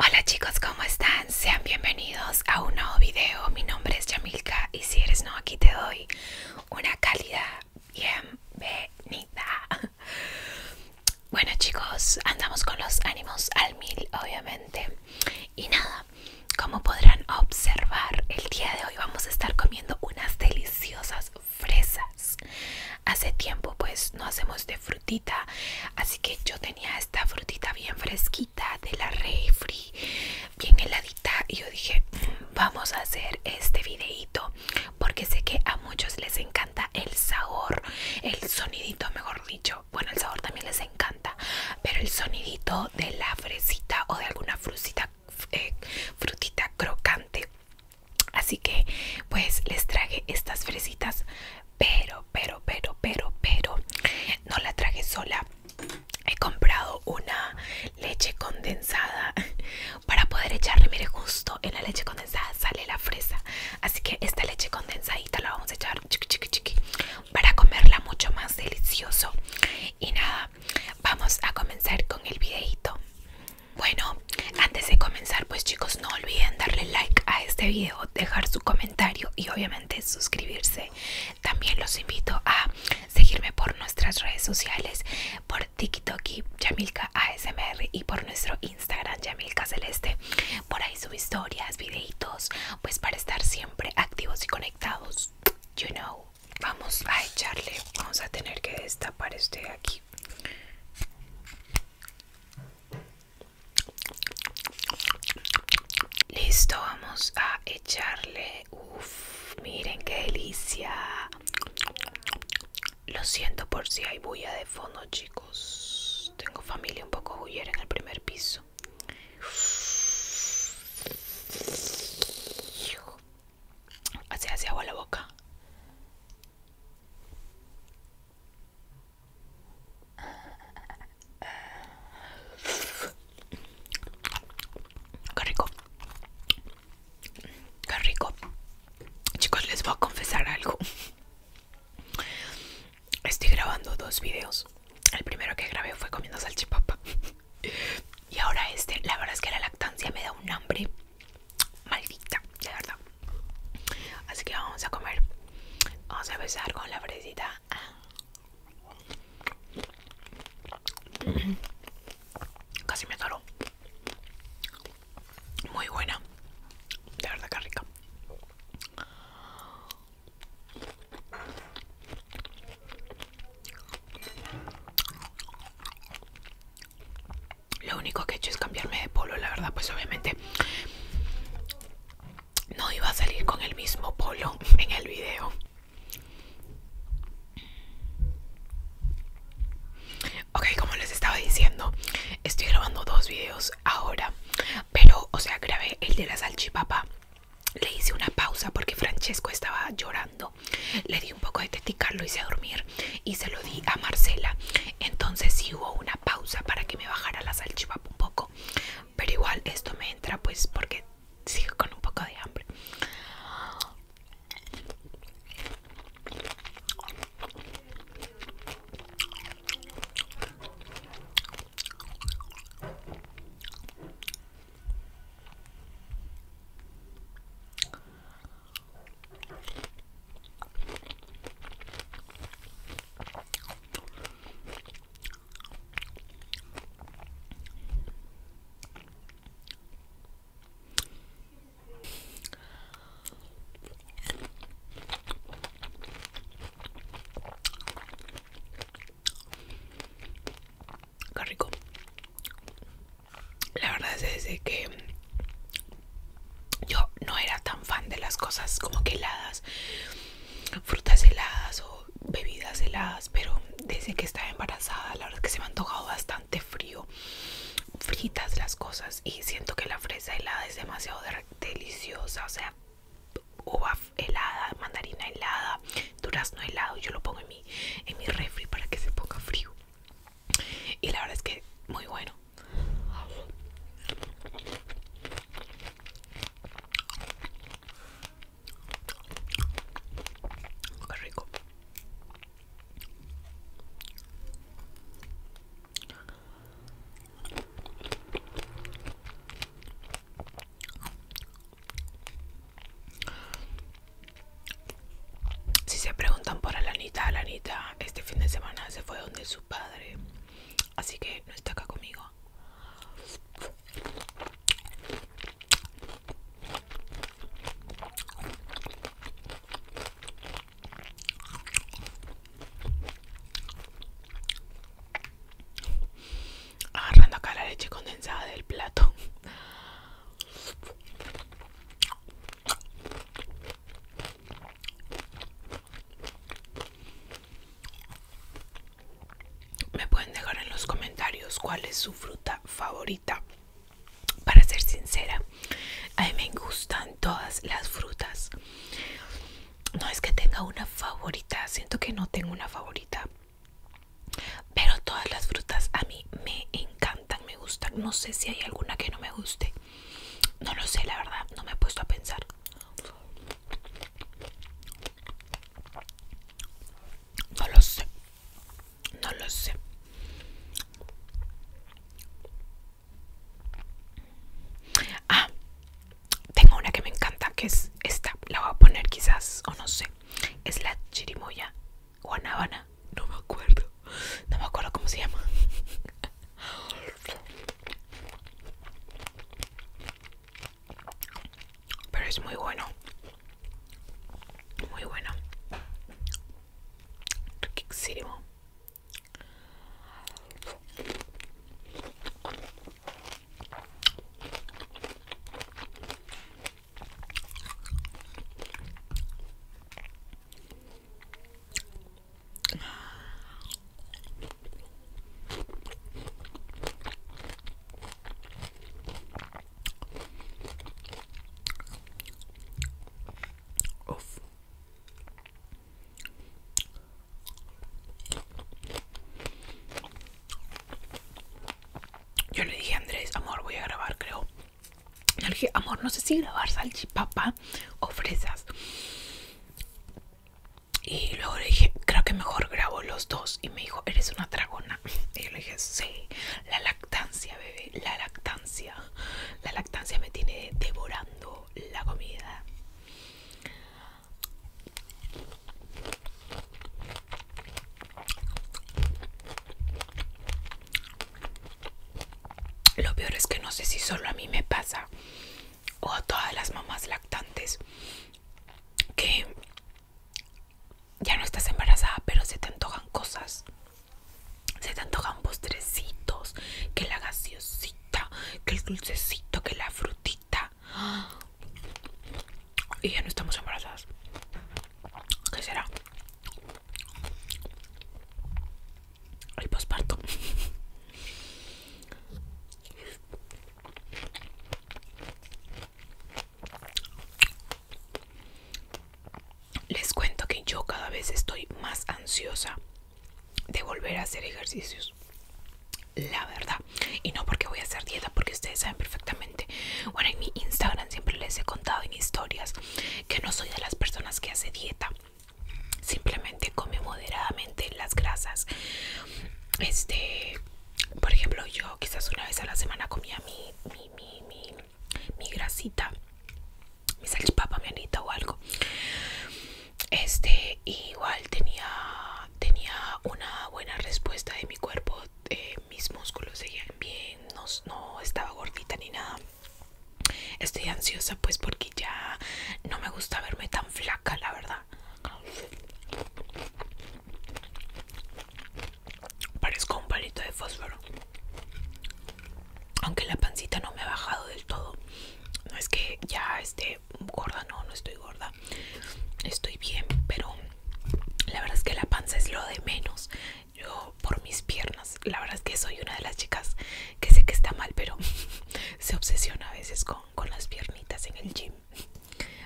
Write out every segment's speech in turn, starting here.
Hola chicos, ¿cómo están? Sean bienvenidos a un nuevo video. Mi nombre es Yamilka y si eres no aquí te doy una cálida bienvenida. Bueno chicos, andamos con los ánimos al mil obviamente. Y nada, como podrán observar, el día de hoy vamos a estar comiendo unas deliciosas fresas. Hace tiempo pues no hacemos de fruta así que yo tenía esta frutita bien fresquita de la refri bien heladita y yo dije mm, vamos a hacer este videito porque sé que a muchos les encanta el sabor el sonidito mejor dicho bueno el sabor también les encanta pero el sonidito de la fresita o de alguna frutita eh, frutita crocante así que pues les traje estas fresitas pero, pero, pero, pero, pero, no la traje sola. He comprado una leche condensada para poder echarle, mire, justo en la leche condensada sale la fresa. Así que esta leche condensadita la vamos a echar chiqui, chiqui, chiqui, para comerla mucho más delicioso. Y nada, vamos a comenzar con el videito. Bueno, antes de comenzar, pues chicos, no olviden darle like a este video dejar su comentario y obviamente suscribirse. También los invito a seguirme por nuestras redes sociales, por TikTok y Yamilka ASMR y por nuestro Instagram Yamilka Celeste. Por ahí sus historias, videitos, pues para estar siempre activos y conectados. You know. Vamos a echarle, vamos a tener que destapar este de aquí. Listo, vamos a echarle. Uf, miren qué delicia. Lo siento por si hay bulla de fondo, chicos. Tengo familia un poco bullera en el primer piso. Así agua la boca. Qué rico. Qué rico. Chicos, les voy a confesar algo. Estoy grabando dos videos. El primero que grabé fue comiendo salchipapa. Y ahora este, la verdad es que la lactancia me da un hambre maldita, de verdad. Así que vamos a comer. Vamos a empezar con la fresita. Ah. Casi me atoro. Muy buena. De verdad que rica. Lo único que he hecho es cambiarme de polo, la verdad, pues obviamente no iba a salir con el mismo polo en el video. Ok, como les estaba diciendo, estoy grabando dos videos ahora. Pero, o sea, grabé el de la salchipapa. Le hice una pausa porque Francesco estaba llorando. Le di un poco de teticarlo, hice dormir y se lo a Marcela. Entonces si hubo una pausa para que me bajara la salchipapa un poco. Pero igual esto me entra pues porque sigo con un poco de hambre. Qué rico. La verdad es que yo no era tan fan de las cosas como que heladas, frutas heladas o bebidas heladas, pero desde que estaba embarazada la verdad es que se me han tocado bastante frío, fritas las cosas y siento que la fresa helada es demasiado deliciosa, o sea, uva helada, mandarina helada, durazno helado, yo lo pongo en mi, en mi refri para que se ponga frío. Y la verdad es que muy bueno. Qué rico. Si se preguntan por Alanita, Alanita este fin de semana se fue donde su padre. Así que no está acá conmigo. Agarrando acá la leche condensada del plato. Me pueden dejar en los comentarios cuál es su fruta favorita. Para ser sincera, a mí me gustan todas las frutas. No es que tenga una favorita, siento que no tengo una favorita. Pero todas las frutas a mí me encantan, me gustan. No sé si hay alguna que no me guste. No lo sé, la verdad, no me he puesto a pensar. No lo sé. No lo sé. Ah, tengo una que me encanta, que es esta. La voy a poner quizás, o no sé. Es la chirimoya guanábana. No me acuerdo. No me acuerdo cómo se llama. Pero es muy bueno. Muy bueno. Yo le dije a Andrés, amor, voy a grabar, creo, le dije, amor, no sé si grabar salchipapa o fresas. Y luego le dije, creo que mejor grabo los dos. Y me dijo, eres una dragona. Y yo le dije, sí, la lactancia, bebé, la lactancia. La lactancia me tiene devorando la comida. Lo peor es que no sé si solo a mí me pasa o a todas las mamás lactantes que ya no estás embarazada pero se te antojan cosas. Se te antojan postrecitos, que la gaseosita, que el dulcecito, que la frutita. Y ya no estamos embarazadas. ¿Qué será? el posparto. Les cuento que yo cada vez estoy más ansiosa de volver a hacer ejercicios. La verdad. Y no porque voy a hacer dieta, porque ustedes saben perfectamente. Bueno, en mi Instagram siempre les he contado en historias que no soy de las personas que hace dieta simplemente come moderadamente las grasas este por ejemplo yo quizás una vez a la semana comía mi mi, mi, mi, grasita mi salchipapa mi anita o algo este igual tenía tenía una buena respuesta de mi cuerpo eh, mis músculos seguían bien no estaba gordita ni nada Estoy ansiosa pues porque ya no me gusta verme tan flaca, la verdad. Parezco un palito de fósforo. Aunque la pancita no me ha bajado del todo. No es que ya esté gorda, no, no estoy gorda. Estoy bien, pero la verdad es que la panza es lo de menos yo por mis piernas. La verdad es que soy una de las chicas que sé que está mal, pero se obsesiona a veces con, las piernitas en el gym.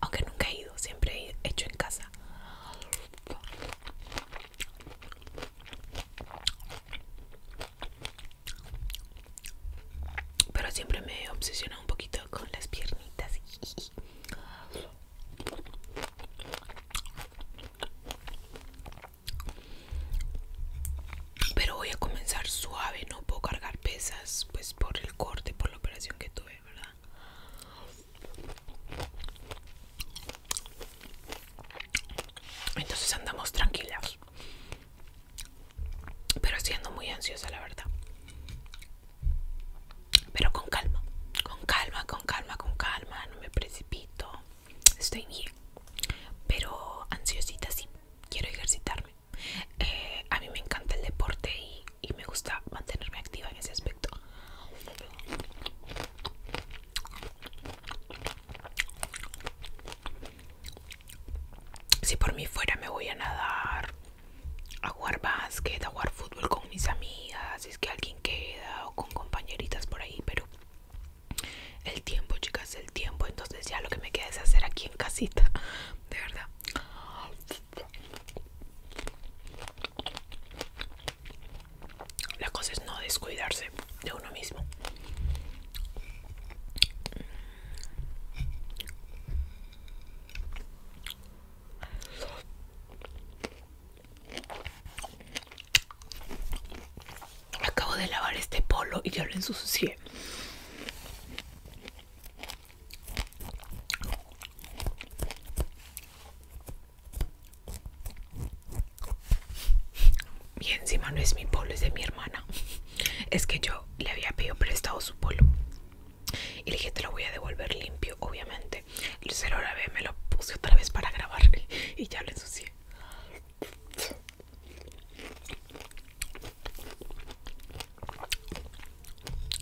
Aunque nunca he ido, siempre he hecho en casa. Pero siempre me he obsesionado un poquito con las piernitas. Pero voy a comenzar suave, no puedo cargar pesas, pues por el corte, por la operación que tuve, ¿verdad? Entonces andamos tranquilas. Pero siendo muy ansiosa, la verdad. Pero con calma, con calma, con calma, con calma, no me precipito estoy bien, pero ansiosita sí, quiero ejercitarme. Eh, a mí me encanta el deporte y, me gusta mantenerme activa en ese aspecto. Si por mí fuera me voy a nadar, a jugar básquet, a jugar fútbol con mis amigas, si es que alguien queda o con compañeritas por ahí, pero el tiempo, chicas, el tiempo. Entonces ya lo que me queda es hacer aquí en casita. De verdad. La cosa es no descuidarse de uno mismo. Acabo de lavar este polo y ya lo ensucié. Y encima no es mi polo, es de mi hermana. Es que yo le había pedido prestado su polo. Y le dije, te lo voy a devolver limpio, obviamente. El cero a me lo puse otra vez para grabar y ya lo ensucié.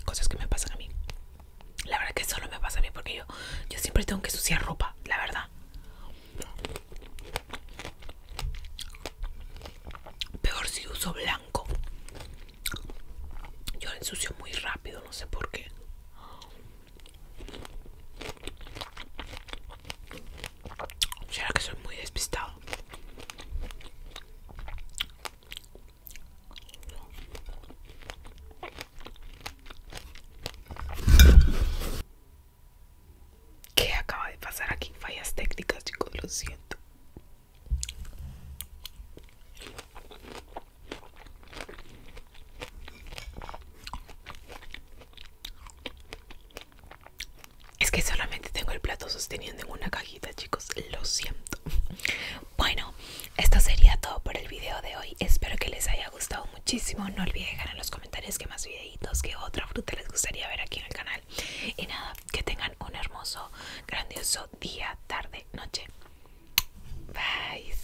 Cosas que me pasan a mí. La verdad que solo me pasa a mí porque yo, yo siempre tengo que suciar ropa, la verdad. Peor si uso blanco. Yo ensucio muy rápido, no sé por qué. Será que soy muy despistado. ¿Qué acaba de pasar aquí? Fallas técnicas, chicos, lo siento. Es que solamente tengo el plato sosteniendo en una cajita, chicos. Lo siento. Bueno, esto sería todo por el video de hoy. Espero que les haya gustado muchísimo. No olviden dejar en los comentarios qué más videitos, qué otra fruta les gustaría ver aquí en el canal. Y nada, que tengan un hermoso, grandioso día, tarde, noche. Bye.